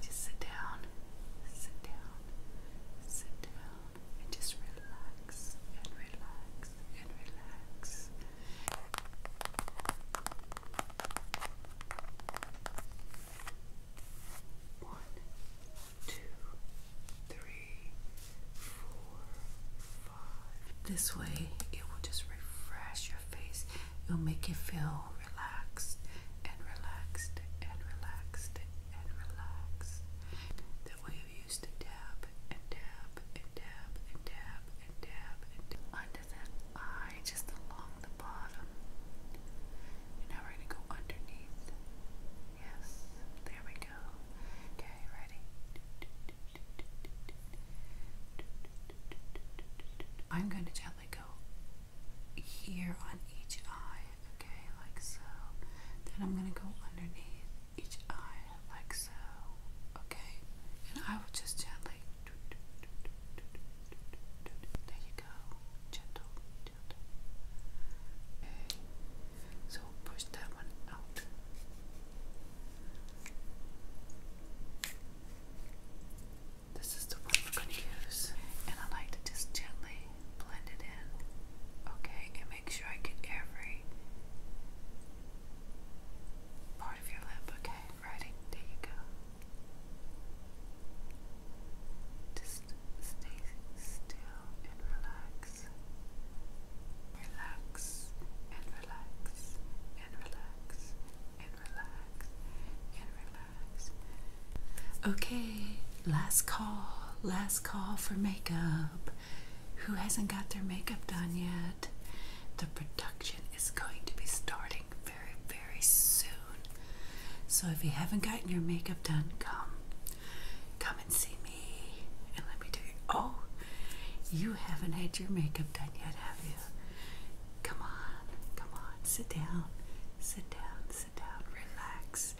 Just sit down, sit down, sit down, and just relax and relax and relax. One, two, three, four, five. This way, it will just refresh your face. It'll make you feel relaxed and relaxed and relaxed and relaxed. That way, you used to dab and dab and dab and dab and dab and under that eye, just along the bottom. now we're going to go underneath. Yes, there we we go. Okay, ready? I'm going to gently go here on each eye, okay, like so. Then I'm going to go underneath each eye, like so, okay. And I will just gently. There you go. Gentle, gentle. Okay. So push that one this is the one we're going to use, and I like to just gently blend it in, okay, and make sure I get every part of your lip, okay, ready? There you go. Just stay still and relax relax, and relax, and relax, and relax, and relax. Okay, last call, last call for makeup. Who hasn't got their makeup done yet? The production is going to be starting very, very soon. So if you haven't gotten your makeup done, come. Come and see me and let me do it. Oh, you haven't had your makeup done yet, have you? Come on, come on, sit down, sit down, sit down, relax.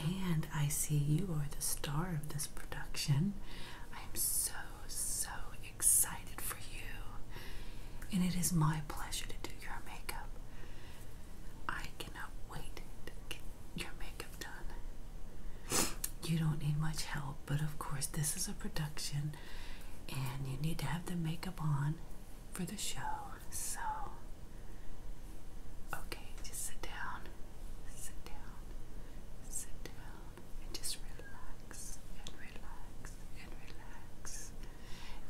And I see you are the star of this production. I'm so, so excited for you. And it is my pleasure to do your makeup. I cannot wait your makeup done. You don't need much help, but of course, this is a production and you need to have the makeup on for the show. So, okay, just sit down, sit down, sit down, and just relax and relax and relax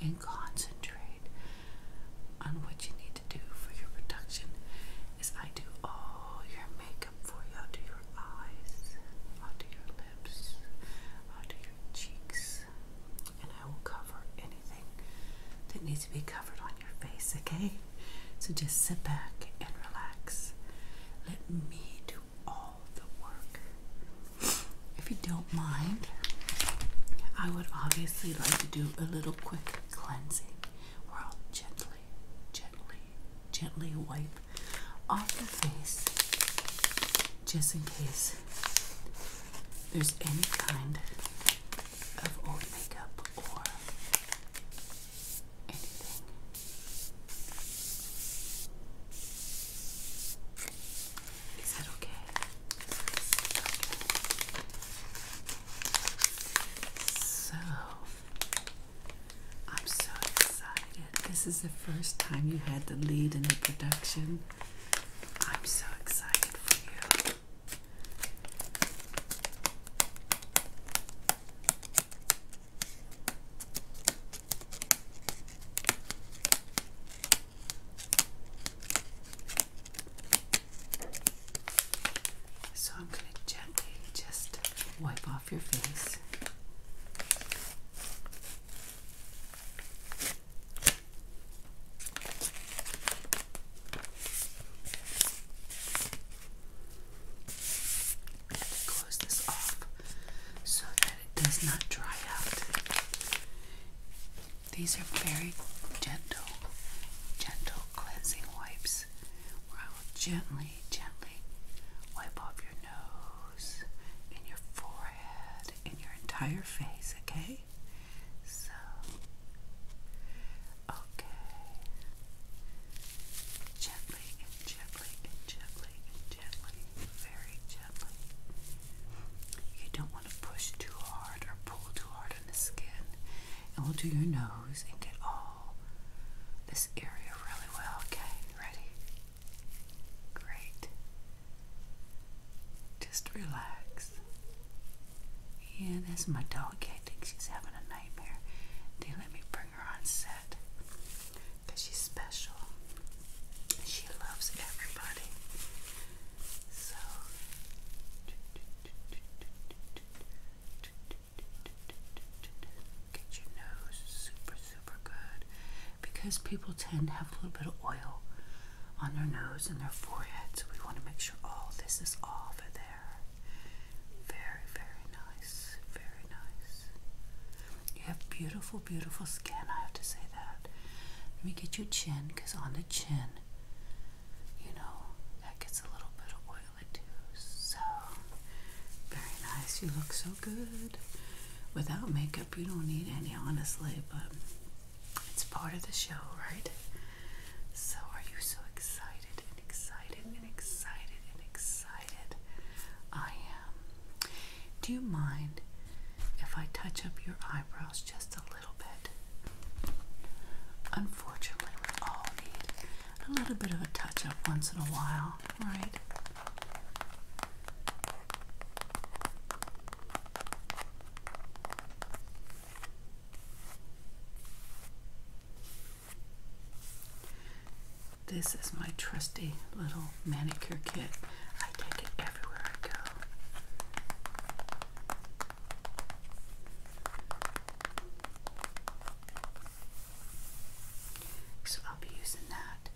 and concentrate on what you need to do for your production is I do all your makeup for you. i do your eyes, i do your lips, i do your cheeks, and I will cover anything that needs to be covered on your face, okay? So just sit back and relax. Let me do all the work. If you don't mind, I would obviously like to do a little quick cleansing where I'll gently gently, gently, wipe off the face just in case there's any kind of old makeup or anything. Is that okay. So, I'm so excited. This is the first time you had the lead in the production. I'm so excited for you. So I'm going to gently just wipe off your face. And close this off so that it does not dry out. These are very gentle, gentle cleansing wipes place where I will gently, gently wipe off your nose and your forehead and your entire face, okay? So, okay. Gently and gently and gently and gently, very gently. You don't want to push too hard or pull too hard on the skin and we'll do your nose and get all this area really well. Okay, ready? Great. Just relax. Yeah, that's my dog. I think she's having a nightmare. They let me bring her on set because she's special. She loves everybody. So. Get your nose super, super good because people tend to have a little bit of oil on their nose and their forehead, so we want to make sure all this is off of there. Very, very nice. Very nice. You have beautiful, beautiful skin. I have to say that. Let me get your chin because on the chin, you know, that gets a little bit of oil so very nice. You look so good. Without makeup, you don't need any, honestly, but it's part of the show, right? So, are you so excited and excited and excited and excited? I am. Do you mind if I touch up your eyebrows just a little? Unfortunately, we all need a little bit of a touch up once in a while, right? This is my trusty little manicure kit. I take it everywhere I go. So I'll be using that.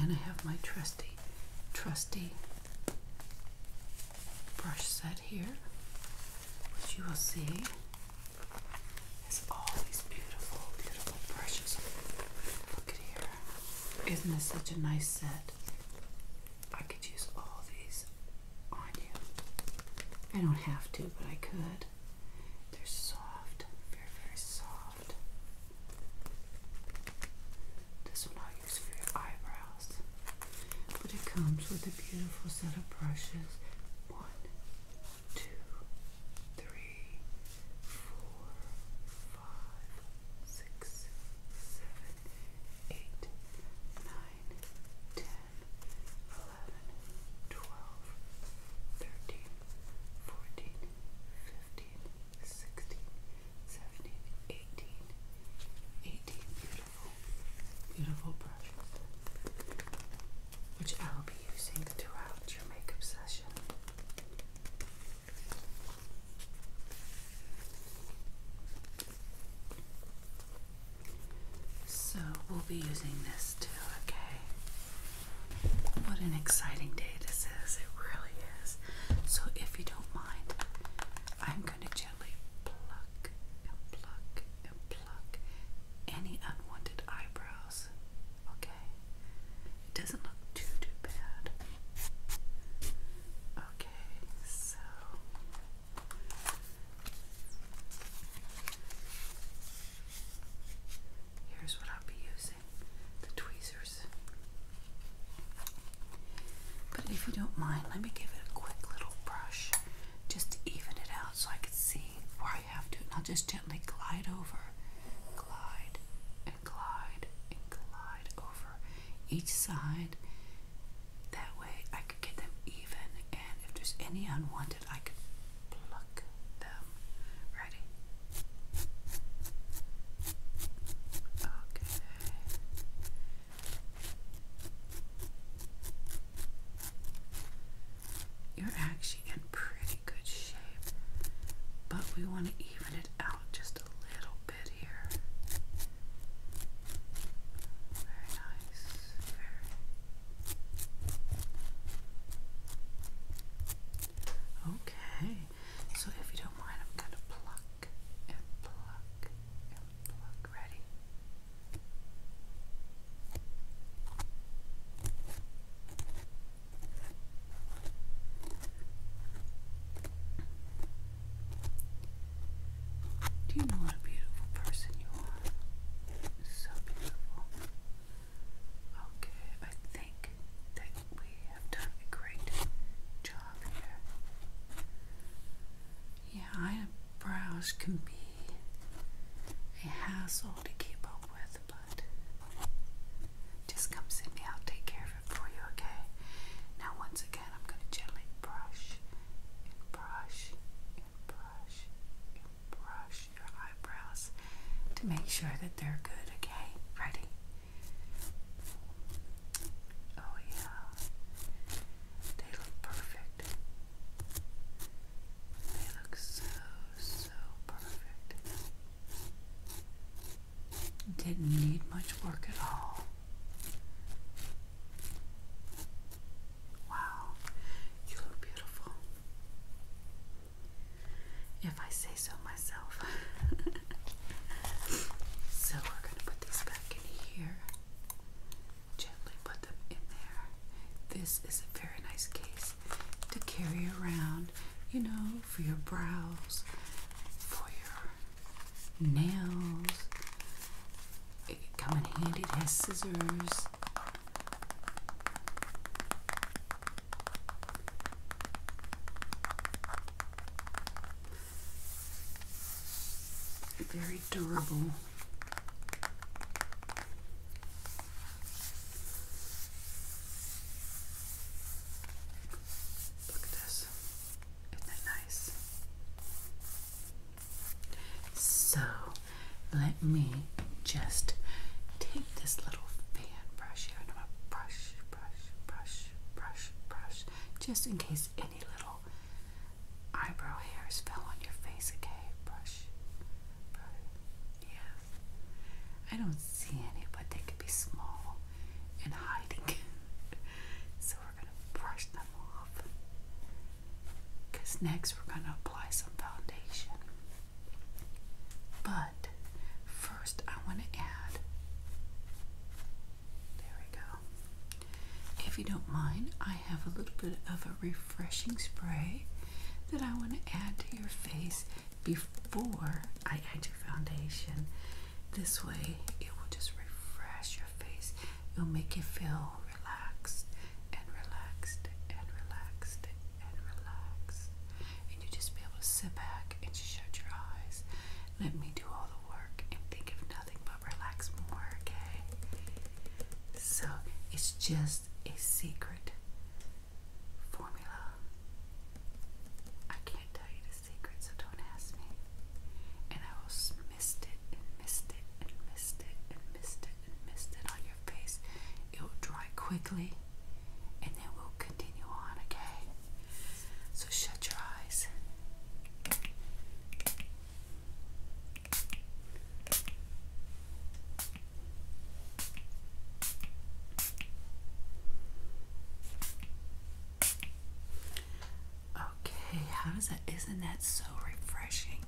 And I have my trusty, trusty brush set here, which you will see is all these beautiful, beautiful brushes. Look at here. Isn't this such a nice set? I could use all these on you. I don't have to, but I could. They're soft, very, very soft. This one I'll use for your eyebrows. But it comes with a beautiful set of brushes. One, two, three, four, five, six, seven, eight, nine, ten, eleven, twelve, thirteen, fourteen, fifteen, sixteen, seventeen, eighteen, eighteen beautiful, beautiful brushes, which I'll be using throughout your makeup session. So we'll be using this too, okay? What an exciting day this is. It really is. So if you don't mind, I'm going to gently pluck and pluck and pluck any unwanted eyebrows, okay? It doesn't look too, too bad. Okay, so. Here's what I'll be using the tweezers. But if you don't mind, let me give it a quick little brush just to even it out so I can see where I have to. And I'll just gently glide over, glide and glide and glide over each side that way I could get them even, and if there's any unwanted, I could pluck them. Ready? Okay. You're actually in pretty good shape, but we want to even it out just a little bit here. Very nice. Okay. So if you don't mind, I'm gonna pluck and pluck and pluck. Ready? Do you know what a beautiful person you are? So beautiful. Okay, I think that we have done a great job here. Yeah, eyebrows can be a hassle to keep up with, but just come sit me. I'll take care of for you, okay? Now, once again, I'm going to gently brush and brush and brush and brush your eyebrows to make sure that they're good, okay? Ready? Oh, yeah. They look perfect. They look so, so perfect. Didn't need much work at all. Wow, you look beautiful. If I say so myself. so we're going to put these back in here. Gently put them in there. This is a very nice case to carry around, you know, for your brows, for your nails. It could come in handy. It has scissors. Very durable. Look at this. Isn't that nice? So let me just take this little fan brush here and I'm going to brush, brush, brush, brush, brush, just in case any little eyebrow hairs fell on your face. Okay, brush, brush. Yes. I don't see any, but they could be small and hiding. so we're going to brush them off because next we're going to apply some foundation. But first, I want to add there we go. If you don't mind, I have a little bit of a refreshing spray that I want to add to your face before I add your foundation this way, it will just refresh your face. It'll make you feel relaxed and relaxed and relaxed and relaxed. And you just be able to sit back and just shut your eyes. Let me do all the work and think of nothing but relax more, okay? So it's just a secret formula. I can't tell you the secret, so don't ask me. And I will mist it and mist it and mist it and mist it and mist it on your face. It will dry quickly, and then we'll continue on, okay? So shut your eyes. Okay, how does that? Isn't that so refreshing?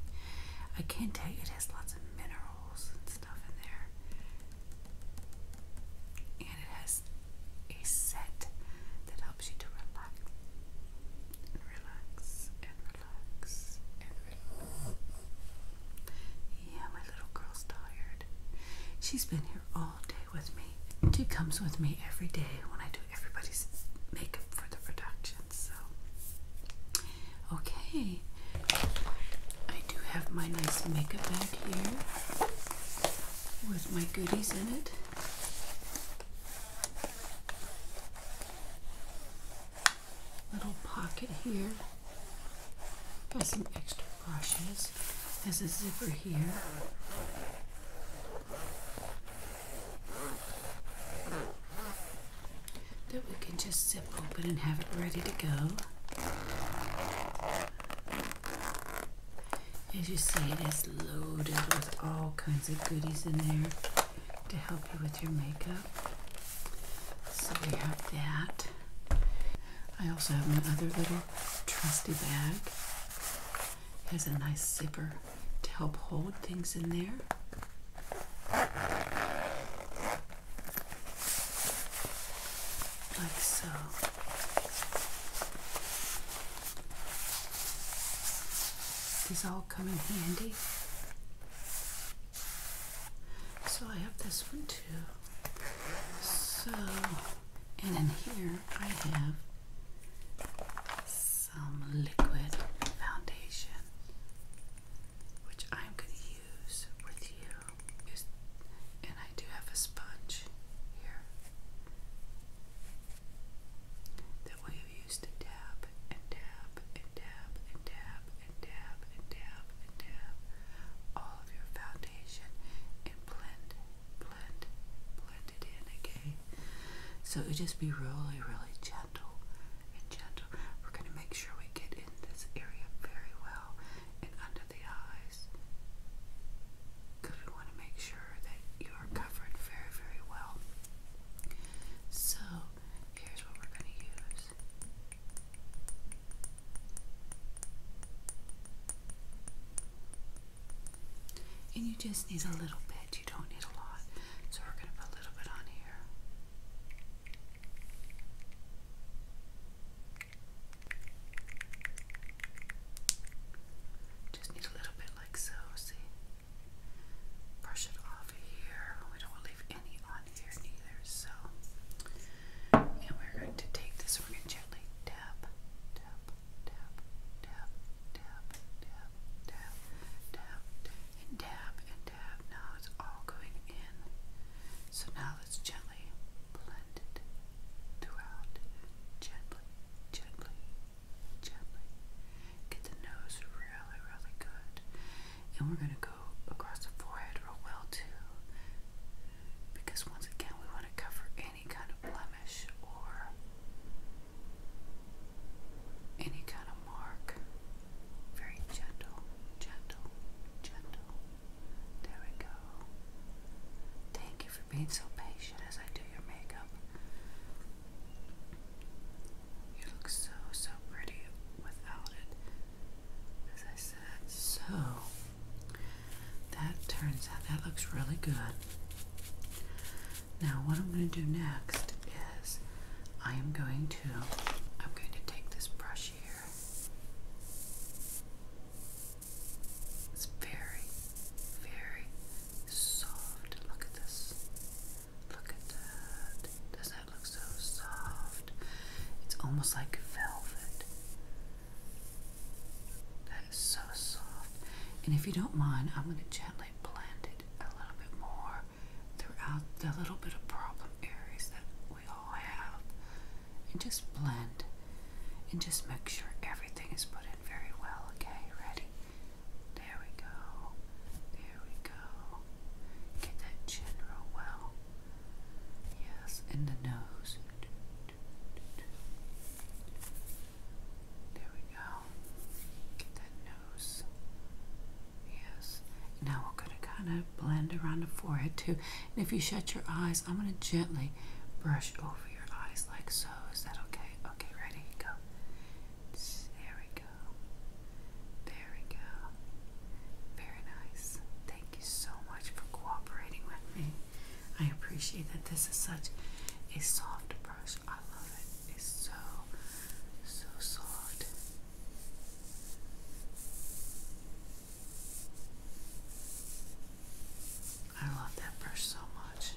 I can tell you it has lots of minerals and stuff in there, and it has a set that helps you to relax, and relax, and relax, and relax. Yeah, my little girl's tired. She's been here all day with me. She comes with me every day when I do everybody's makeup for the production. So, okay, I do have my nice makeup bag here with my goodies in it. Little pocket here. Got some extra brushes. There's a zipper here that we can just zip open and have it ready to go. As you see, it is loaded with all kinds of goodies in there to help you with your makeup. So we have that. I also have my other little trusty bag has a nice zipper to help hold things in there. Like so. These all come in handy. So I have this one too. So and in here I have some liquid foundation, which I'm going to use with you. And I do have a sponge here that we use to dab and dab and dab and dab and dab and dab and dab all of your foundation and blend, blend, blend it in, okay? So just be really, really gentle and gentle. We're going to make sure we get in this area very well and under the eyes because we want to make sure that you are covered very, very well. So here's what we're going to use. And you just need a little bit, you don't need a lot. So we're going to put a little bit on here. Just need a little bit like so, see? Brush it off here. We don't want to leave any on here either, so. And we're going to take this, we're going to gently tap, tap, tap, tap, tap, tap, tap, tap, and tap, and tap. Now it's all going in. So now let's gently blend it throughout. Gently, gently, gently. Get the nose really, really good. And we're going to go across the forehead real well too. Because once again, we want to cover in any kind of blemish or any kind of mark. Very gentle, gentle, gentle. There we go. Thank you for being so patient as I do your makeup. You look so, so pretty without it, as I said. So, that turns out that looks really good. Now what I'm going to do next is I am going to I'm going to take this brush here. It's very, very soft. Look at this. Look at that. Doesn't that look so soft? It's almost like velvet. That is so soft. And if you don't mind, I'm going to gently blend it a little bit more throughout the little bit of problem areas that we all have. And just blend and just make sure everything is put in very well. Okay, ready? There we go. There we go. Get that chin well. Yes, and the nose. There we go. that nose. Yes. Now we're going to kind of blend around the forehead too. And if you shut your eyes, I'm going to gently brush over your eyes like so. Is that okay? Okay, ready? Go. There we go. There we go. Very nice. Thank you so much for cooperating with me. I appreciate that this is such a soft brush. I love it. It's so, so soft. I love that brush so much.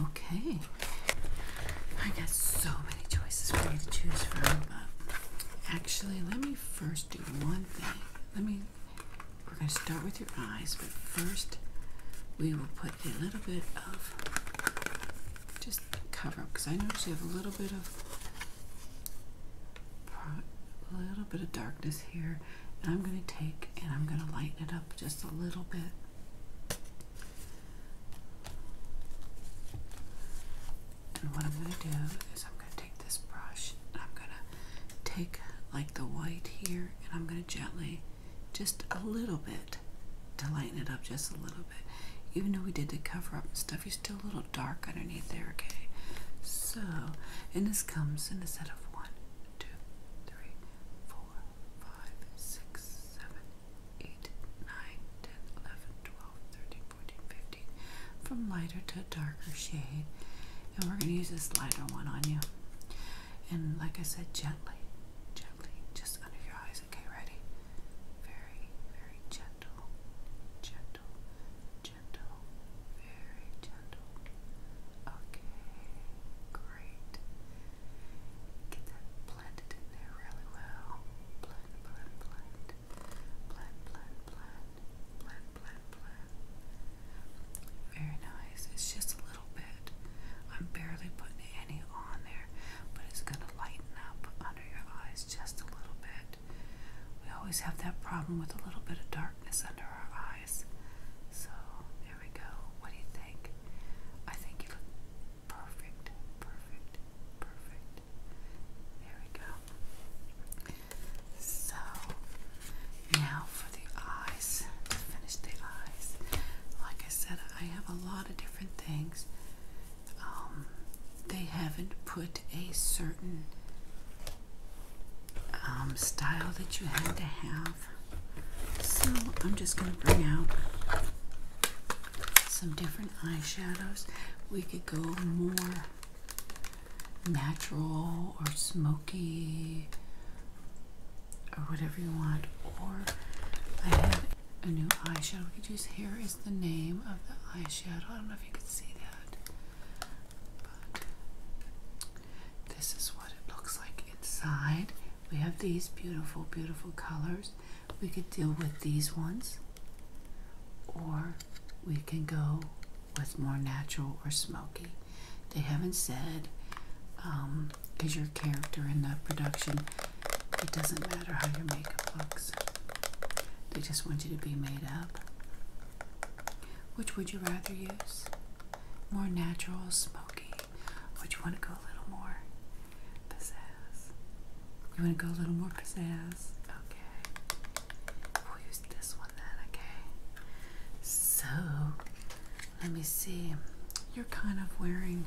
Okay. I got so many choices for you to choose from. But actually, let me first do one thing. Let me we're going to start with your eyes, but first we will put a little bit of just cover up because I notice you have a little bit of a little bit of darkness here. And I'm going to take and I'm going to lighten it up just a little bit. And what I'm going to do is I'm going to take this brush and I'm going to take like the white here and I'm going to gently just a little bit to lighten it up just a little bit. Even though we did the cover up and stuff, you're still a little dark underneath there, okay? So, and this comes in a set of one, two, three, four, five, six, seven, eight, nine, ten, eleven, twelve, thirteen, 14, from lighter to darker shade. And we're going to use this lighter one on you. And like I said, gently, gently, just under your eyes. Okay, ready? Very, very gentle, gentle, gentle, very gentle. Okay, great. Get that blended in there really well. Blend, blend, blend. Very nice. It's just a little bit. I'm barely putting any on there, but it's gonna lighten up under your eyes just a little bit. We always have that problem with a little bit of darkness under our eyes. So there we go. What do you think? I think you look perfect, perfect, perfect. There we go. So now for the eyes, to finish the eyes. Like I said, I have a lot of different things. Um, they haven't put a certain um, style that you had to have. So I'm just going to bring out some different eyeshadows. We could go more natural or smoky or whatever you want. Or I have a new eyeshadow we could use. Here is the name of the eyeshadow. I don't know if you can see that. But this is what it looks like inside. We have these beautiful, beautiful colors. We could deal with these ones, or we can go with more natural or smoky. They haven't said because um, your character in the production, it doesn't matter how your makeup looks. They just want you to be made up. Which would you rather use? More natural, smoky. Would you want to go a little more pizzazz? You want to go a little more pizzazz? Okay. we use this one then, okay? So, let me see. You're kind of wearing,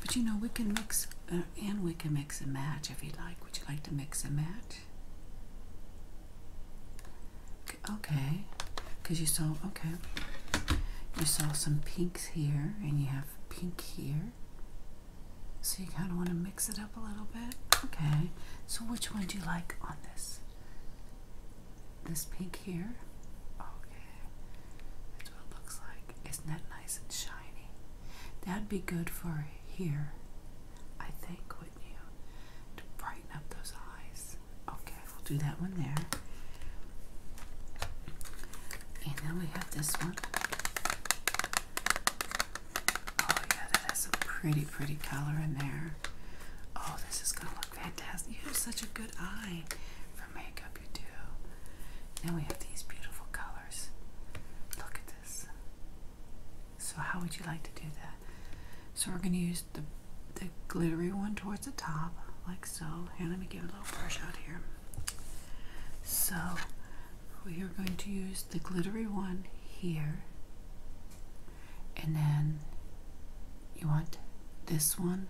but you know, we can mix uh, and we can mix and match if you'd like. Would you like to mix and match? Okay, because you saw, okay, you saw some pinks here and you have pink here. So you kind of want to mix it up a little bit. Okay. So which one do you like on this? This pink here? Okay. That's what it looks like. Isn't that nice and shiny? That'd be good for here, I think, wouldn't you? To brighten up those eyes. Okay, we'll do that one there. And now we have this one. Oh yeah, that has some pretty, pretty color in there. Oh, this is gonna look fantastic. You have such a good eye for makeup, you do. Now we have these beautiful colors. Look at this. So how would you like to do that? So we're gonna use the the glittery one towards the top, like so. And let me give a little brush out here. So we are going to use the glittery one here, and then you want this one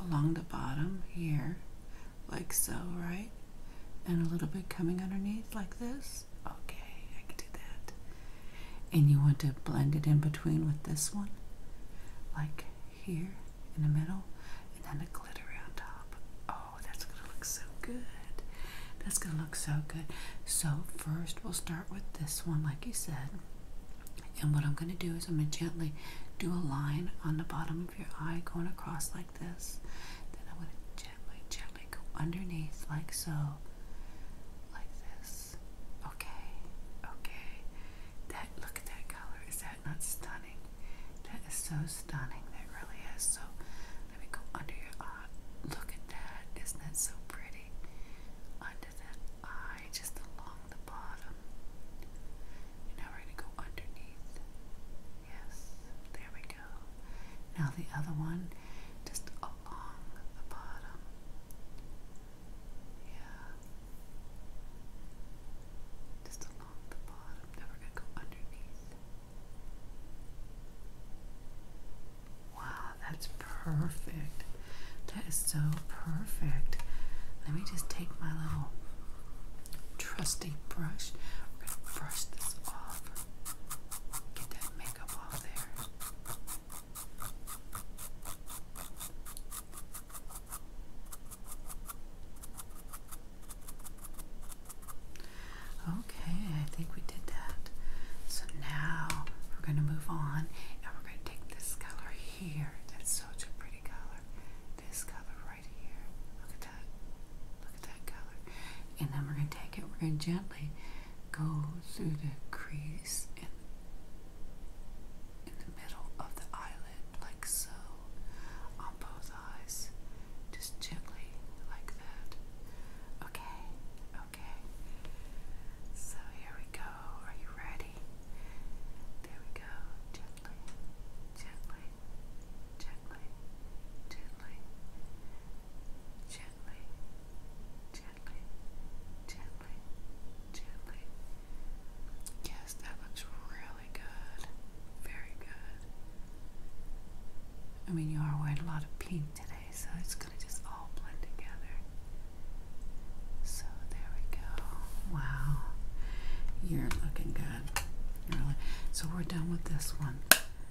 along the bottom here, like so, right? And a little bit coming underneath, like this. Okay, I can do that. And you want to blend it in between with this one, like here in the middle, and then the glittery on top. Oh, that's going to look so good. That's going to look so good. So, first we'll start with this one, like you said. And what I'm going to do is I'm going to gently do a line on the bottom of your eye going across like this. Then I'm going to gently, gently go underneath like so. Like this. Okay. Okay. That look at that color. Is that not stunning? That is so stunning. That really is. So let me go under your eye Look at that. Isn't that so pretty? Under that eye, just along the bottom. now we're going to go underneath. Yes, there we go. Now the other one, just along the bottom. Yeah. Just along the bottom. Now going to go underneath. Wow, that's perfect. That is so perfect. Let me just take my little trusty brush. We're going to brush this off. Get that makeup off there. Okay, I think we did that. So now we're going to move on and we're going to take this color here. That's such a pretty color. This color right here. Look at that. Look at that color. And then we're going to take it, we're going to gently go through the crease in, in the middle of the eyelid, like so, on both eyes. Just gently, like that. Okay, okay. So here we go. Are you ready? There we go. gently, gently, gently, gently, gently, gently, gently. Yes, that looks really good. Very good. I mean, you are wearing a lot of pink today, so it's gonna just all blend together. So there we go. Wow, you're looking good. Really. So we're done with this one.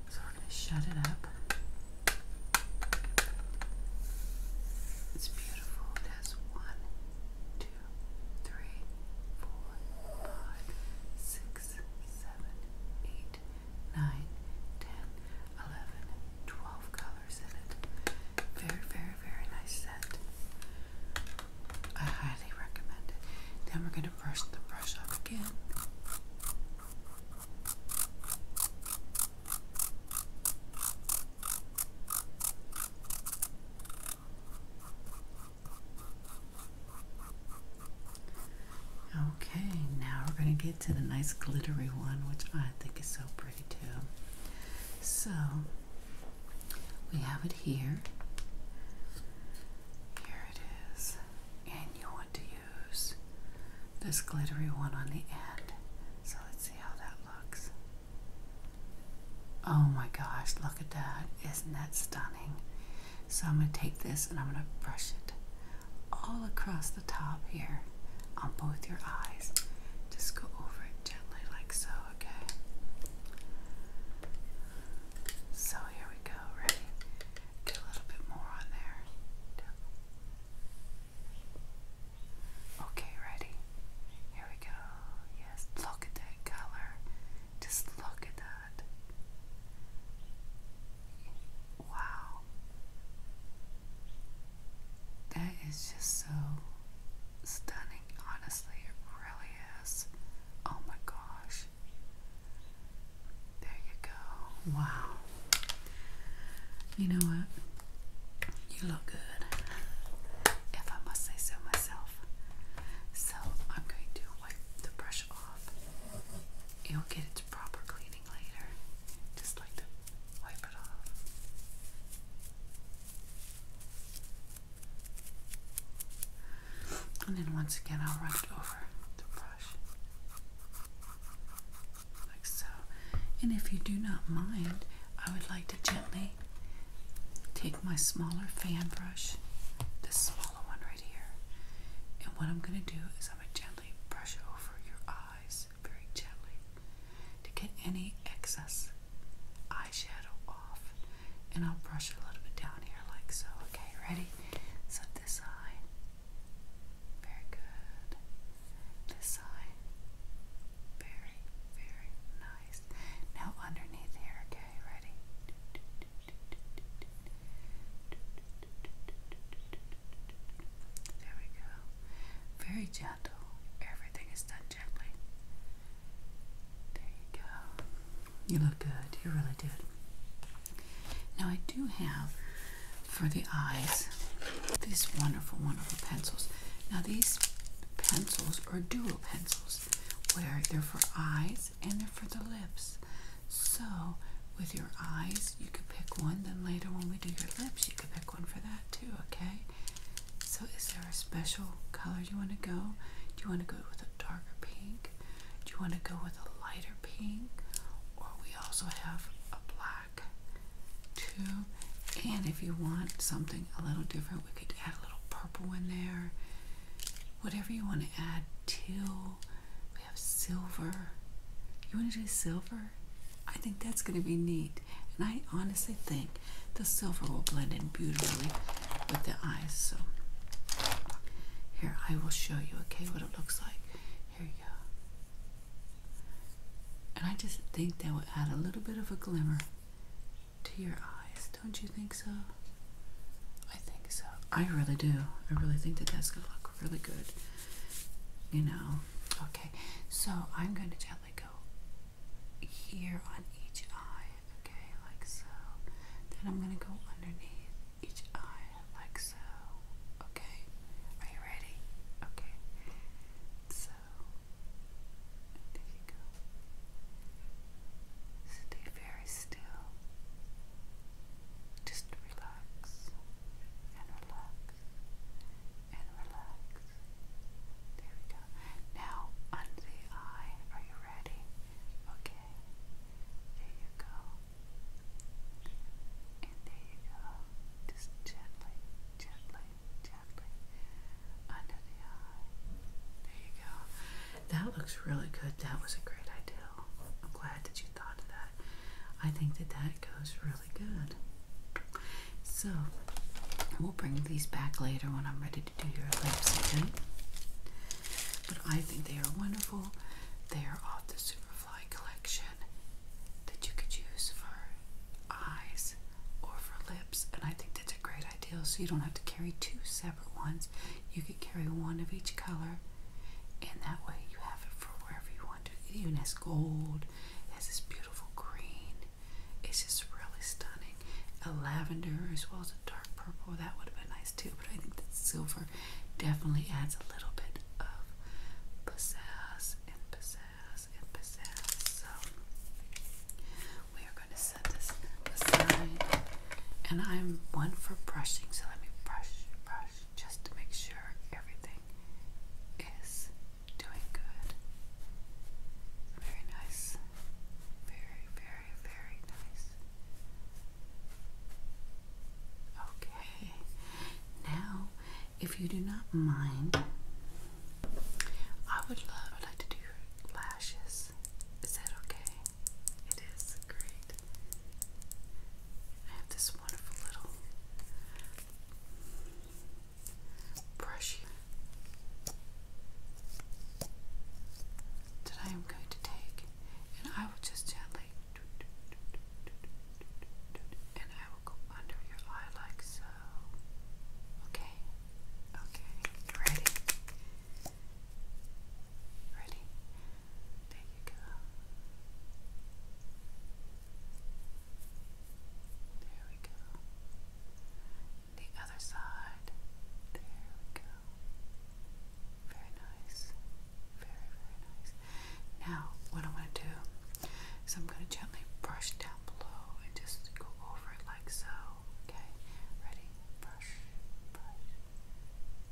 So we're gonna shut it up. It's beautiful. It has one, two, three, four, five, six, seven, eight, ten, eleven, twelve colors in it. Very, very, very nice set. I highly recommend it. Then we're going to brush the brush up again. Okay, now we're going to get to the nice glittery one, which I think is so pretty too. So we have it here. Here it is. And you want to use this glittery one on the end. So let's see how that looks. Oh my gosh, look at that. Isn't that stunning? So I'm going to take this and I'm going to brush it all across the top here on both your eyes. Just go over it gently like so, okay? So here we go, ready? Do a little bit more on there. Okay, ready? Here we go. Yes, look at that color. Just look at that. Wow. That is just so stunning, honestly. It really is. Oh my gosh. There you go. Wow. You know what? You look good. If I must say so myself. So I'm going to wipe the brush off. You'll get it proper cleaning later. Just like to wipe it off. And then once again, I'll run it over the brush. Like so. And if you do not mind, I would like to gently take my smaller fan brush, this small hollow one right here. And what I'm going to do is I'm going to gently brush over your eyes very gently to get any excess eyeshadow off. And I'll brush a little bit down here like so. Okay, ready? So this eye. Very good. This eye. Very, very nice. Now underneath here, okay, ready? There we go. Very gentle. Everything is done gently. There you go. You look good. You really did. Now, I do have for the eyes these wonderful, wonderful pencils. Now, these pencils are dual pencils where they're for eyes and they're for the lips. So, with your eyes, you could pick one, then later when we do your lips, you could pick one for that too, okay? So, is there a special color you want to go? Do you want to go with a darker pink? Do you want to go with a lighter pink? Or we also have a black too. And if you want something a little different, we could add a little purple in there. Whatever you want to add, teal, we have silver. You want to do silver? I think that's going to be neat. And I honestly think the silver will blend in beautifully with the eyes. So here I will show you, okay, what it looks like. Here you go. And I just think that will add a little bit of a glimmer to your eyes. Don't you think so? I think think so. I really do. I really think that that's gonna look really good. You know. Okay. So I'm going to gently go here on each eye. Okay, like so. Then I'm gonna go underneath each eye, like so. Okay. Are you ready? Okay. So there you go. Stay very still. Just relax and relax and relax. There we go. Now, under the eye, are you ready? Okay. There you go. And there you go. Just gently, gently, gently. Under the eye. There you go. That looks really good. That was a great idea. I'm glad that you thought of that. I think that that goes really good. So, we'll bring these back later when I'm ready to do your lips again. But I think they are wonderful. They are off the Superfly collection that you could use for eyes or for lips. And I think that's a great idea so you don't have to carry two separate ones. You could carry one of each color, and that way you have it for wherever you want to. It even has gold, it has this beautiful green. It's just really stunning. A lavender as well as a dark purple, that would have been nice too, but I think that silver definitely adds a little bit of possess and possess and pizzazz. So we are going to set this aside and I'm one for brushing, so let me brush, brush, just to make sure everything is doing good. Very nice. Very, very, very nice. Okay, now if you do not mind, I would love, I'd like to do your lashes. Is that okay? It is great. I have this wonderful little brush here that I am going to take, and I will just gently, and I will go under your eye like so. Okay, okay, you ready? Ready? There you go. There we go. The other side. There we go. Very nice. Very, very nice. Now, what I'm going to do is I'm going to gently brush down below and just go over it like so. Okay? Ready? Brush, brush,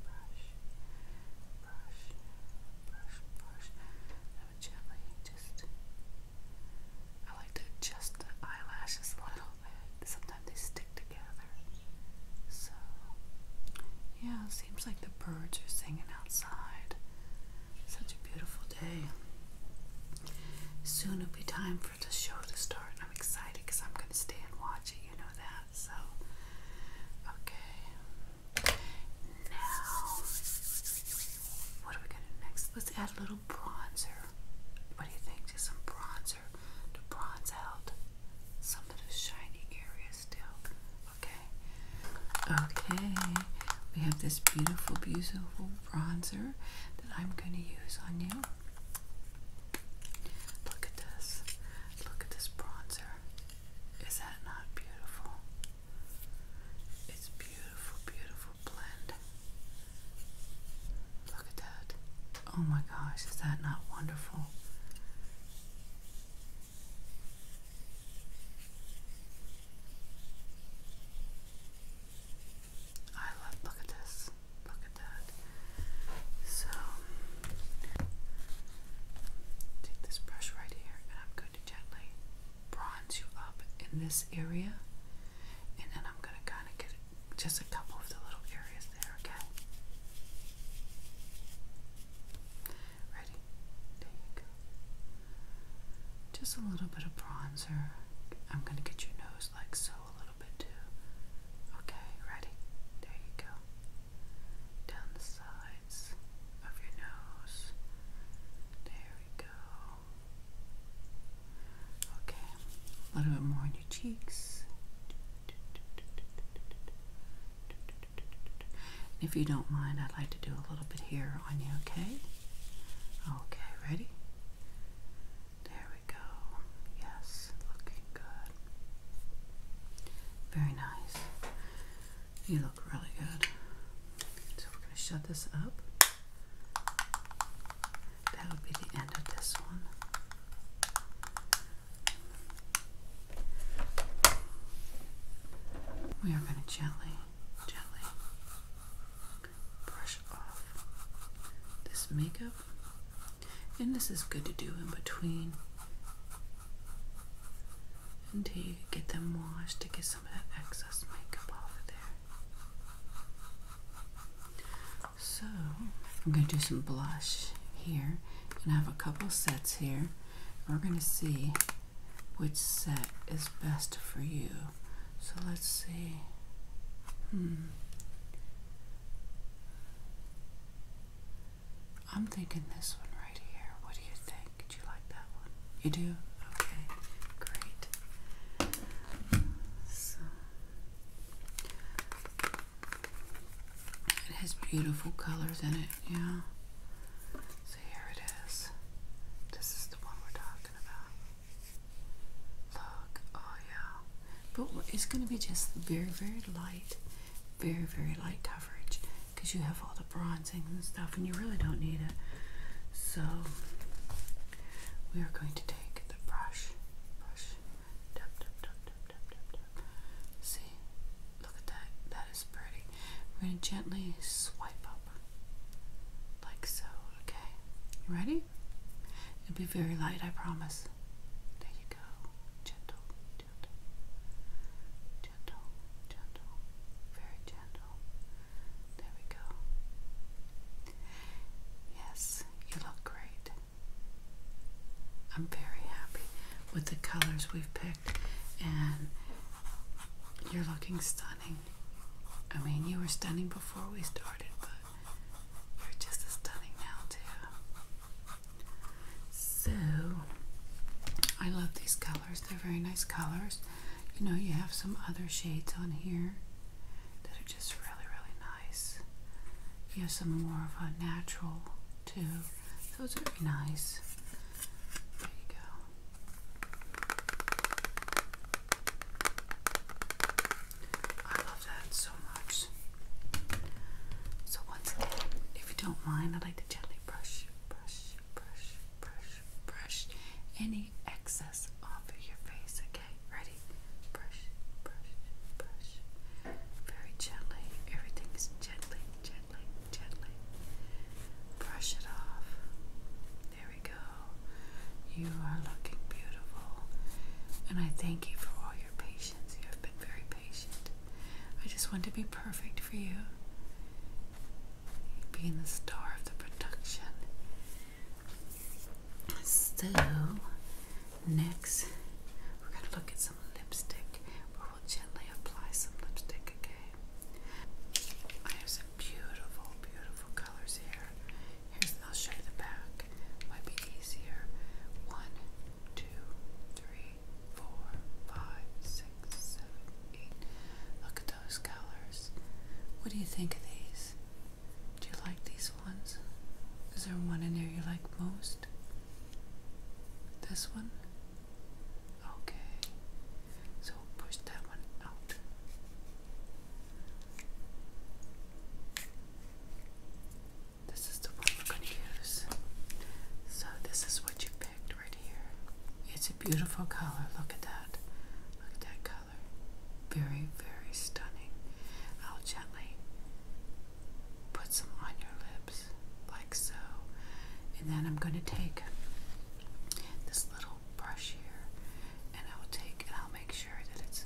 brush, brush, brush, brush. I would gently just. I like to adjust the eyelashes a little bit. Sometimes they stick together. So, yeah, it seems like the birds are singing outside. Such a beautiful day. Soon it'll be time for the show to start, and I'm excited because I'm going to stay and watch it. You know that. So, okay. Now, what are we gonna next? Let's add a little bronzer. What do you think? Just some bronzer to bronze out some of the shiny areas still. Okay. Okay. We have this beautiful, beautiful bronzer that I'm gonna use on you. Look at this. Look at this bronzer. Is that not beautiful? It's beautiful, beautiful blend. Look at that. Oh my gosh, is that not wonderful? I love, look at this. Look so, take this brush right here, and I'm going to gently bronze you up in this area, and then I'm going to kind of get just a couple of the little areas there, okay? Ready? There you go. Just a little bit of bronzer. I'm going to get your nose like so a little bit too. Okay, ready? There you go down the sides of your nose. There we go. Okay, a little bit more on your cheeks. If you don't mind, I'd like to do a little bit here on you, okay? Okay, ready? There we go. Yes, looking good. Very nice. You look really good. So we're going to shut this up. That would be the end of this one. We are going to gently, gently brush off this makeup and this is good to do in between until you get them washed to get some of that excess makeup off of there. So I'm going to do some blush here, and have a couple sets here. We're going to see which set is best for you. So let's see. Hmm. I'm thinking this one right here. What do you think? Do you like that one? You do? Okay, great. So, it has beautiful colors in it, yeah. So here it is. This is the one we're talking about. Look, oh yeah but it's going to be just very, very light, very, very light coverage because you have all the bronzing and stuff, and you really don't need it. So, we are going to take the brush, brush, tap, tap, tap, tap, tap, tap, tap. See, look at that. That is pretty. We're going to gently swipe up, like so. Okay, you ready? It'll be very light, I promise. There you go. Gentle, gentle, gentle, gentle, very gentle. There we go. Yes, you look great. I'm very happy with the colors we've picked, and you're looking stunning. I mean, you were stunning before we started, but you're just as stunning now, too. So I love these colors. They're very nice colors. You know, you have some other shades on here that are just really, really nice. You have some more of a natural too. Those are very nice. There you go that so much. So once again, if you don't mind, I would like to gently brush, brush, brush, brush, brush any excess off of your face. Okay, ready? Brush, brush, brush. Very gently. Everything is gently, gently, gently. Brush it off. There we go. You are looking beautiful. And I thank you for all your patience. You have been very I just want to be perfect for you. Being the star of the production. So, next, we're going to look at some lipstick, we'll gently apply some lipstick, okay? I have some beautiful, beautiful colors here. Here's, I'll show you the back. Might be easier. One, two, three, four, five, six, seven, eight. Look at those colors. What do you think of these? Do you like these ones? Is there one in here you like most? This one? Okay. So push that one out. This is the one we're going to use. So, this is what you picked right here. It's a beautiful color. Look at that. Look at that color. Very, very stunning. I'll gently put some on your lips, like so. And then I'm going to take this little brush here and I'll take and I'll make sure that it's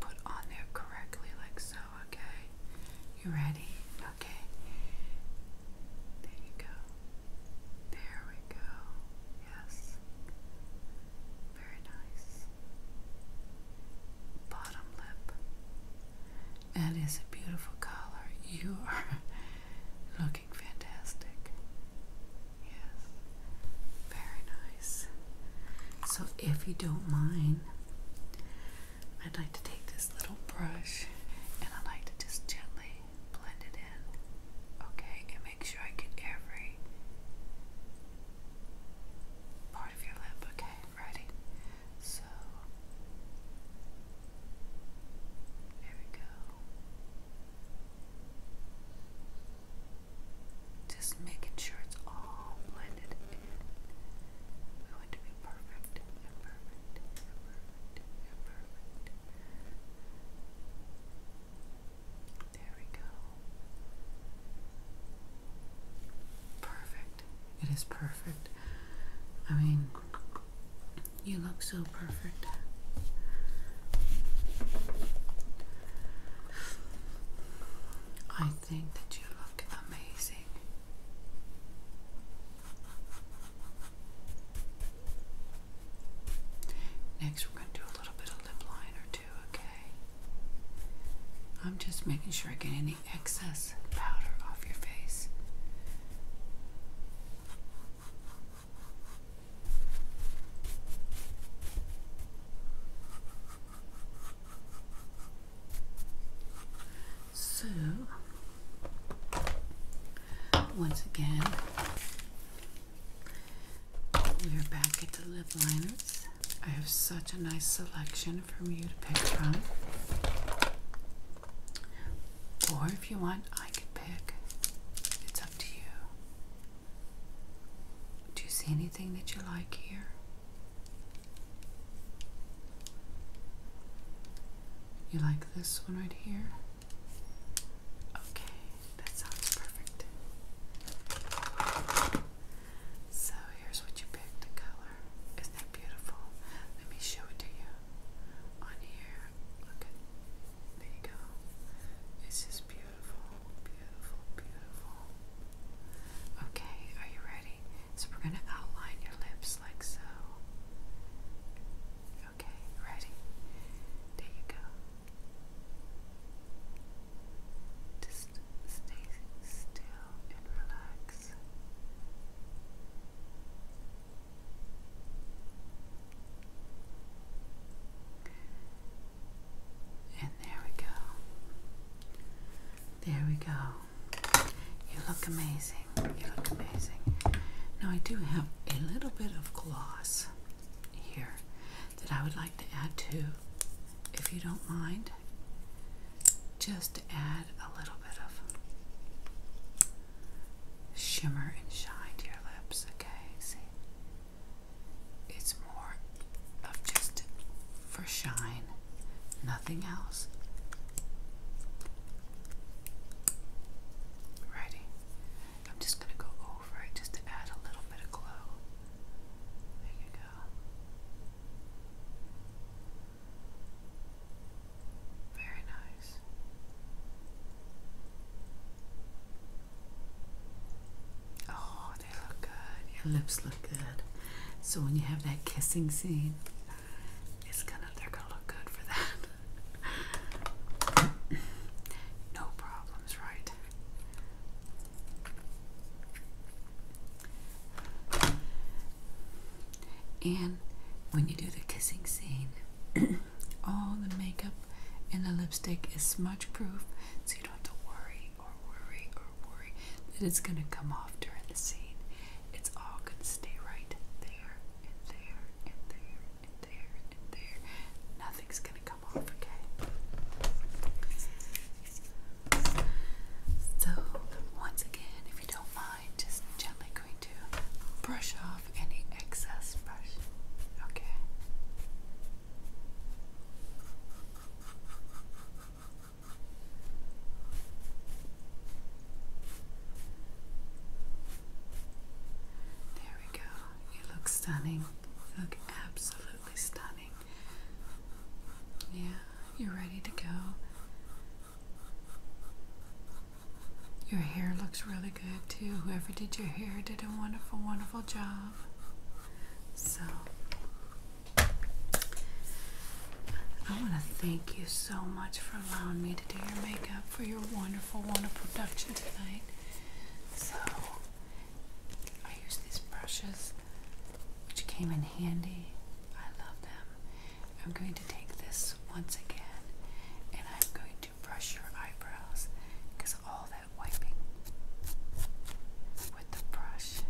put on there correctly, like so okay? You ready? Okay. There you go. There we go. Yes. Very nice. Bottom lip. That is a beautiful color. You are looking fantastic. Yes. Very nice. So, if you don't mind, I'd like to take this little brush and I like to just gently blend it in, okay, and make sure I get every part of your lip, okay, ready? So, there we go. Just making sure it's all blended in. We want to be perfect perfect perfect perfect. There we go. Perfect. It is perfect. I mean, you look so perfect. I think that you look amazing. Next, we're going to do a little bit of lip liner too, okay? I'm just making sure I get any excess powder off your face. So, once again, we're back at the lip liners. I have such a nice selection for you to pick from. Or if you want, I could pick. It's up to you. Do you see any anything that you like here. You like this one right here? Okay, that sounds perfect. So here's what you picked, the color. Isn't that beautiful? Let me show it to you. On here, look there you go. It's just beautiful, beautiful, beautiful. Okay, are you ready? So we're going to outline your lips like so. Okay, ready? There you go. Just stay still and relax. And there we go. There we go. You look amazing. You look amazing. Now, I do have a little bit of gloss here that I would like to add to, if you don't mind. Just to add a little bit of shimmer and shine to your lips, okay? See? It's more just for shine, nothing else. Righty. I'm just going to go over it just to add a little bit of glow. There you go. Very nice. Oh, they look good. Your lips look good. So when you have that kissing scene, it's gonna they're gonna look good for that. no problems, right? And when you do the kissing scene, all the makeup and the lipstick is smudge proof, so you don't have to worry or worry or worry that it's going to come off during the scene. It's all going to stay right there and there and there and there and there. Nothing's going to come off, okay? So, once again, if you don't mind, just gently going to brush off any excess brush, okay? There we go. You look stunning. look absolutely stunning. Yeah, you're ready to go. Your hair looks really good too. Whoever did your hair did a wonderful, wonderful job. So, I want to thank you so much for allowing me to do your makeup for your wonderful, wonderful production tonight. So, I use these brushes which came in handy. I love them. I'm going to take this once again and I'm going to brush your eyebrows because all that wiping with the brush.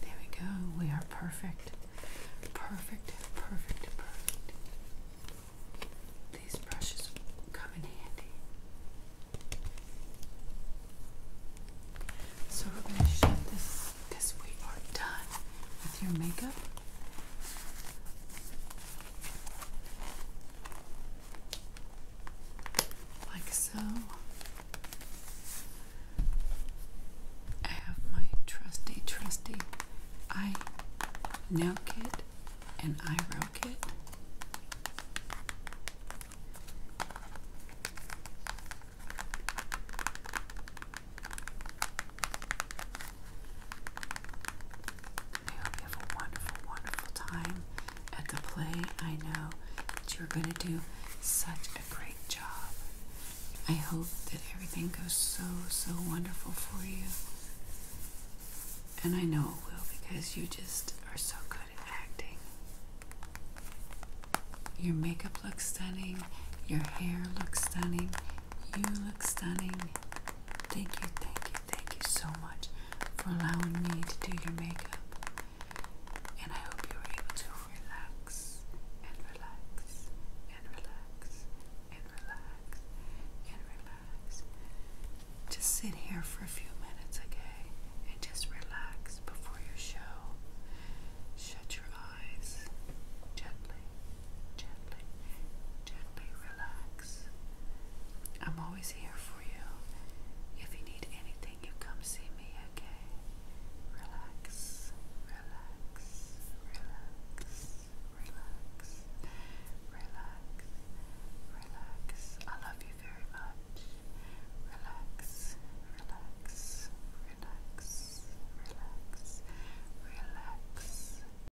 There we go. We are perfect. Perfect, perfect, perfect. These brushes come in handy. So we're going to shut this because we are done with your makeup like so. I have my trusty, trusty eye nail kit and eyebrow kit. I hope you have a wonderful, wonderful time at the play. I know that you're going to do such a great job. I hope that everything goes so, so wonderful for you. And I know it will because you just are so good at acting. Your makeup looks stunning. Your hair looks stunning. You look stunning. Thank you, thank you, thank you so much for allowing me to do your makeup. And I hope you were able to relax and relax and relax and relax and relax. Just sit here for a few minutes, okay? And just relax before your show. Shut your eyes gently gently, gently relax. I'm always here for you. If you need anything, you come see me, okay? Relax, relax, relax, relax, relax, relax. I love you very much. Relax, relax, relax, relax, relax.